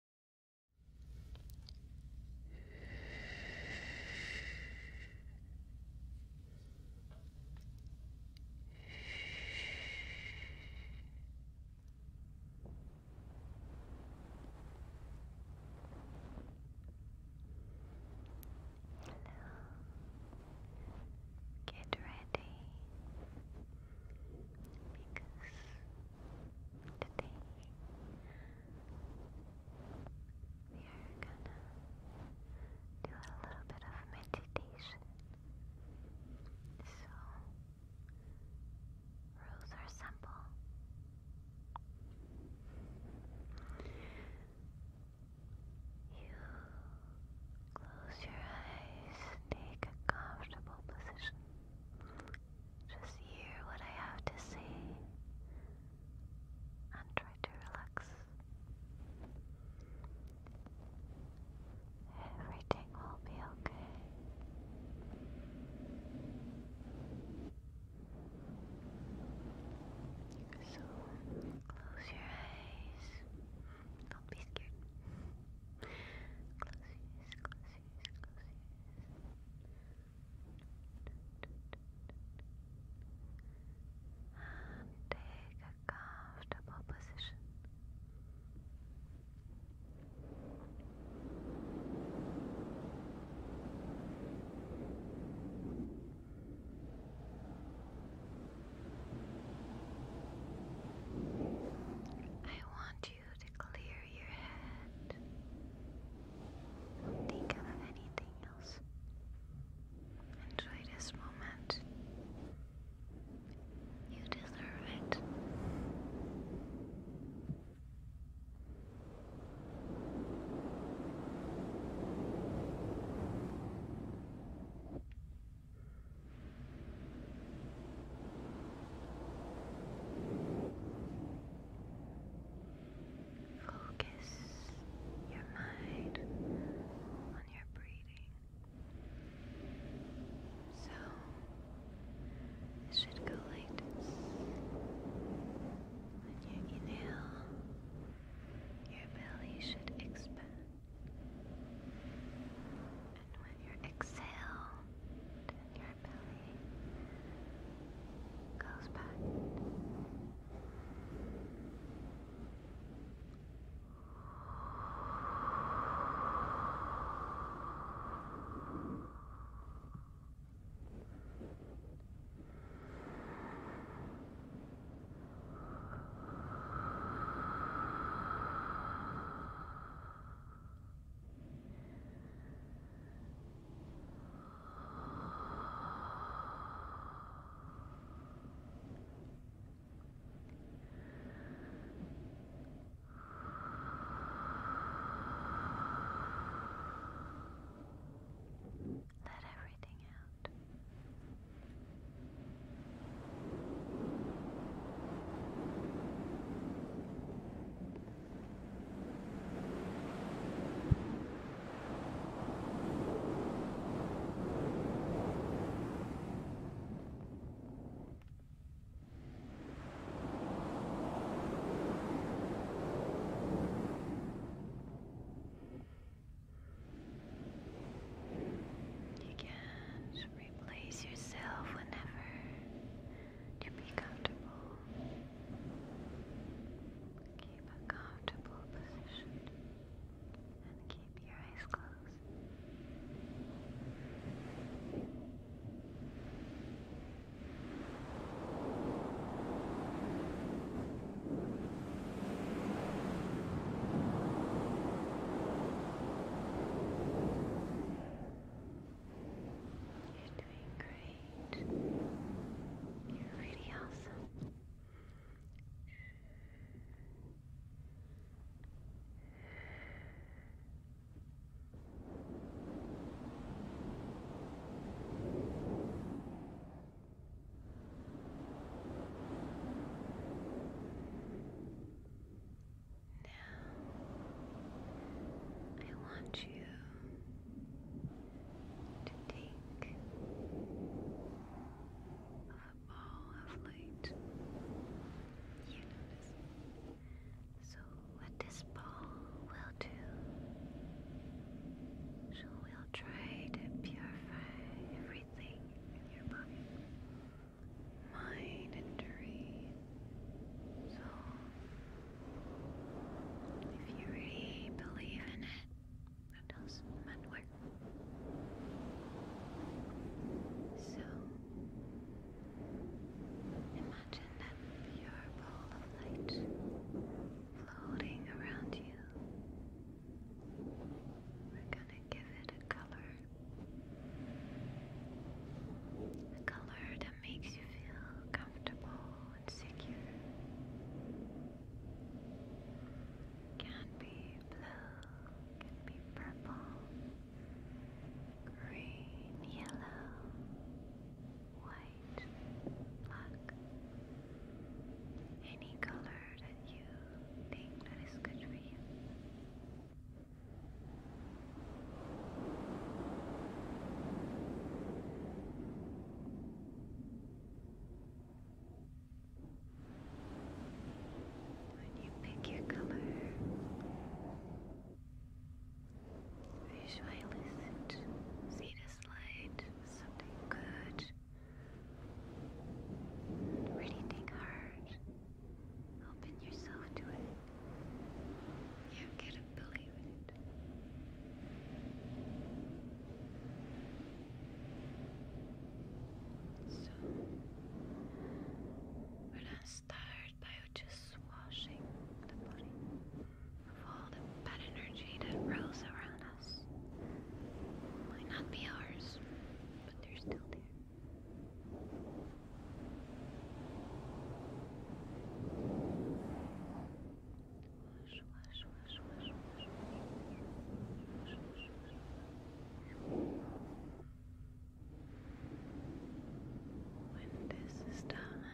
Hello. Get ready because today we are gonna do a little bit of meditation. So, rules are simple. You close your eyes, take a comfortable position. Just hear what I have to say and try to relax. Everything will be okay. So, close your eyes. Don't be scared. Close your eyes, close and take a comfortable I want to clear your head. think of anything else. Enjoy this moment. You deserve it. Focus your mind on your breathing. So should go like this. When you inhale, your belly should expand. And with your exhale, and your belly goes back. Good. Let everything out. You can Replace yourself whenever you be comfortable. Keep a comfortable position and keep your eyes closed. You're doing great. You're really awesome. Now, I want you to think of a ball of light. You notice. So, what this ball will do, so we'll try to purify everything in your body mind injury. So, if you really believe in it, that does matter. So, imagine that pure ball of light floating around you. We're gonna give it a color. A color that makes you feel comfortable and secure. Can be blue, can be purple, green, yellow, white, black. Any color that you think that is good for you. When you pick your color, visualize it, see this light, something good. Really think hard Open yourself to it. You couldn't believe it. So, we're gonna start by just washing the body of all the bad energy that rolls around us. Might not be ours, but they're still there. When this is done,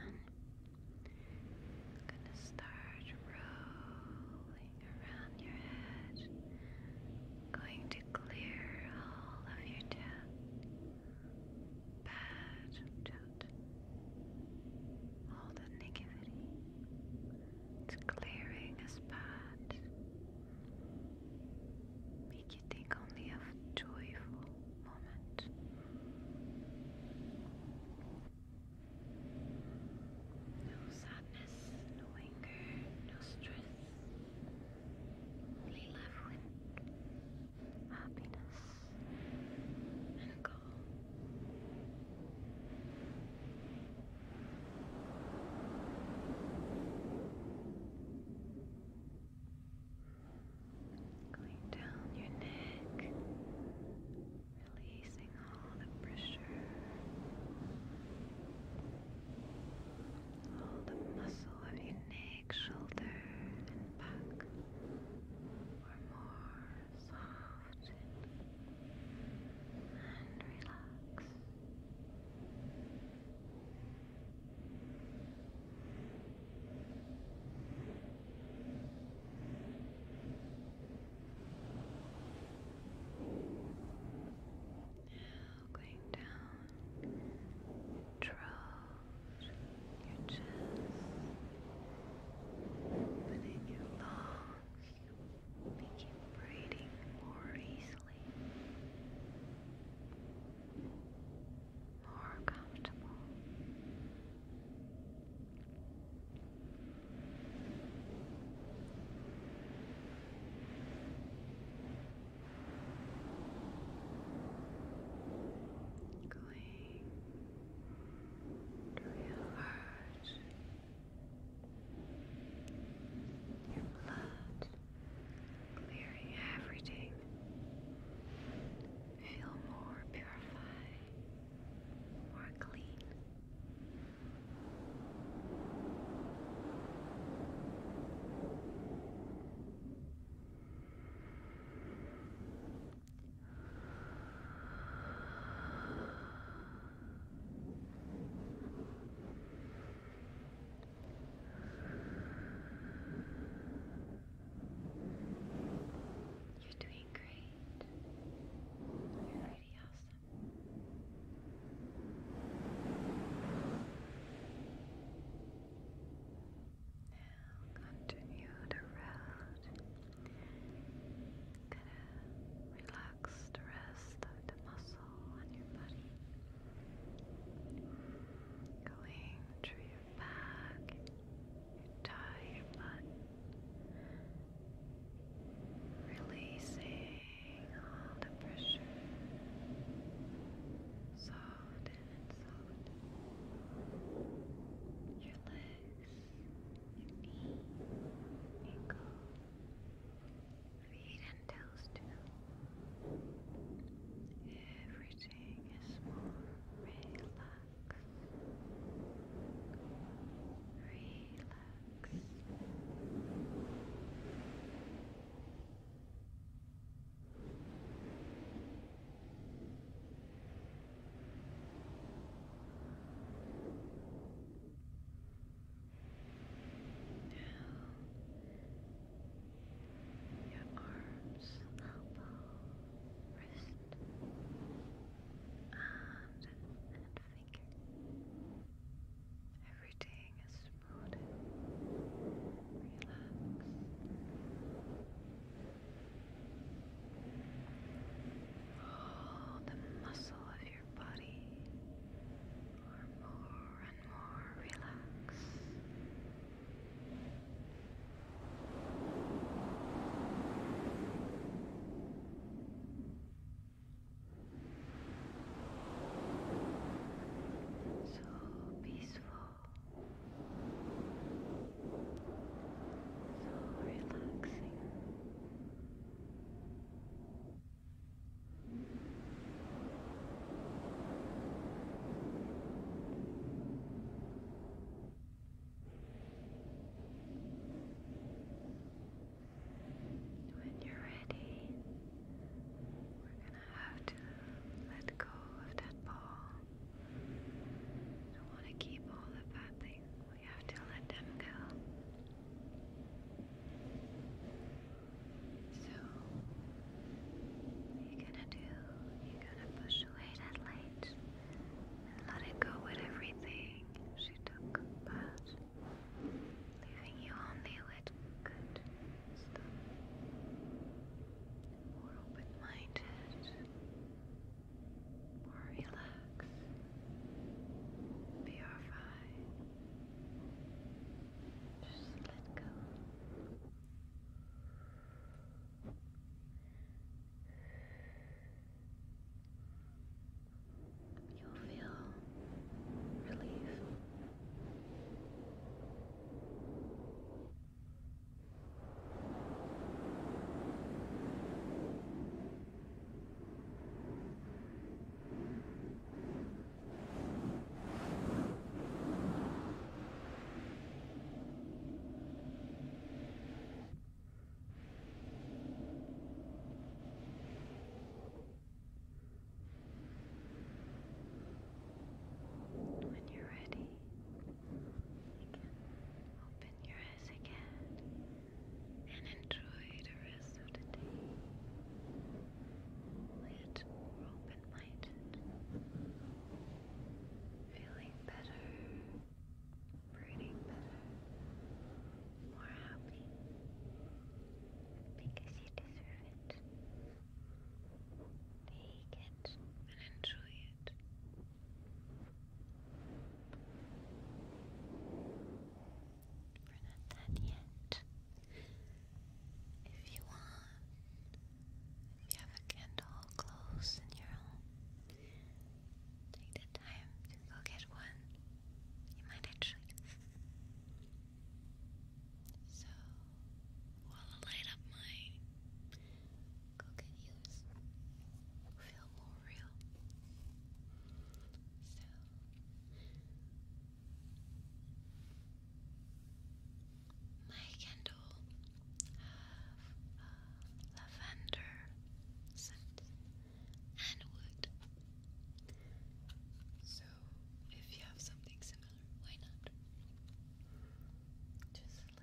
gonna start rolling around your head, going to clear all of your bad all the negativity. It's clearing a spot. Make you think only of joyful moment. No sadness, no anger, no stress. We live with happiness and calm. Going down your neck, releasing all the pressure all the muscle of your neck, shoulder, and back are more soft and relaxed. Now going down, drove your chest, opening your lungs, making breathing more easily, more comfortable. Going to enlarge your blood, clearing everything. Feel more purified, more clean. You're doing great. You're really awesome. Now continue the route. Gonna relax the rest of the muscle on your body. Going through your back, your thigh, butt. Releasing all the pressure, soften and soften your legs, knee, ankle, feet and toes too. Everything is more relaxed. Relax. Okay. Now, your arms, elbow, wrist, arms, and, and everything is smooth and All the muscle of your body are more and more relaxed. So peaceful, so relaxing. Now when you're ready, we're gonna have to let go of that ball. don't want to keep all the bad things. We have to let them go. So you're gonna do, you're gonna push away that light and let it go with everything she took past leaving you only with good More open-minded, more relaxed, purified. Just let go. Let go. You'll feel relief. When you're ready, you can open your eyes again and enjoy the rest of the day. Lit or open minded. Feeling better, breathing better more happy because you deserve it. Take it and enjoy it. We're not done yet. If you want, if you have a candle close in your home, take the time to go get one. You might actually. So, while light up my coconut ears, feel more real. So. My candle of lavender scent and So, if you have something similar, why not? Just like.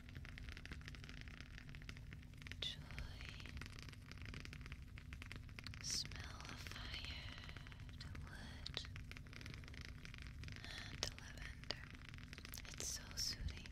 joy, smell of fire to wood lavender. It's so soothing.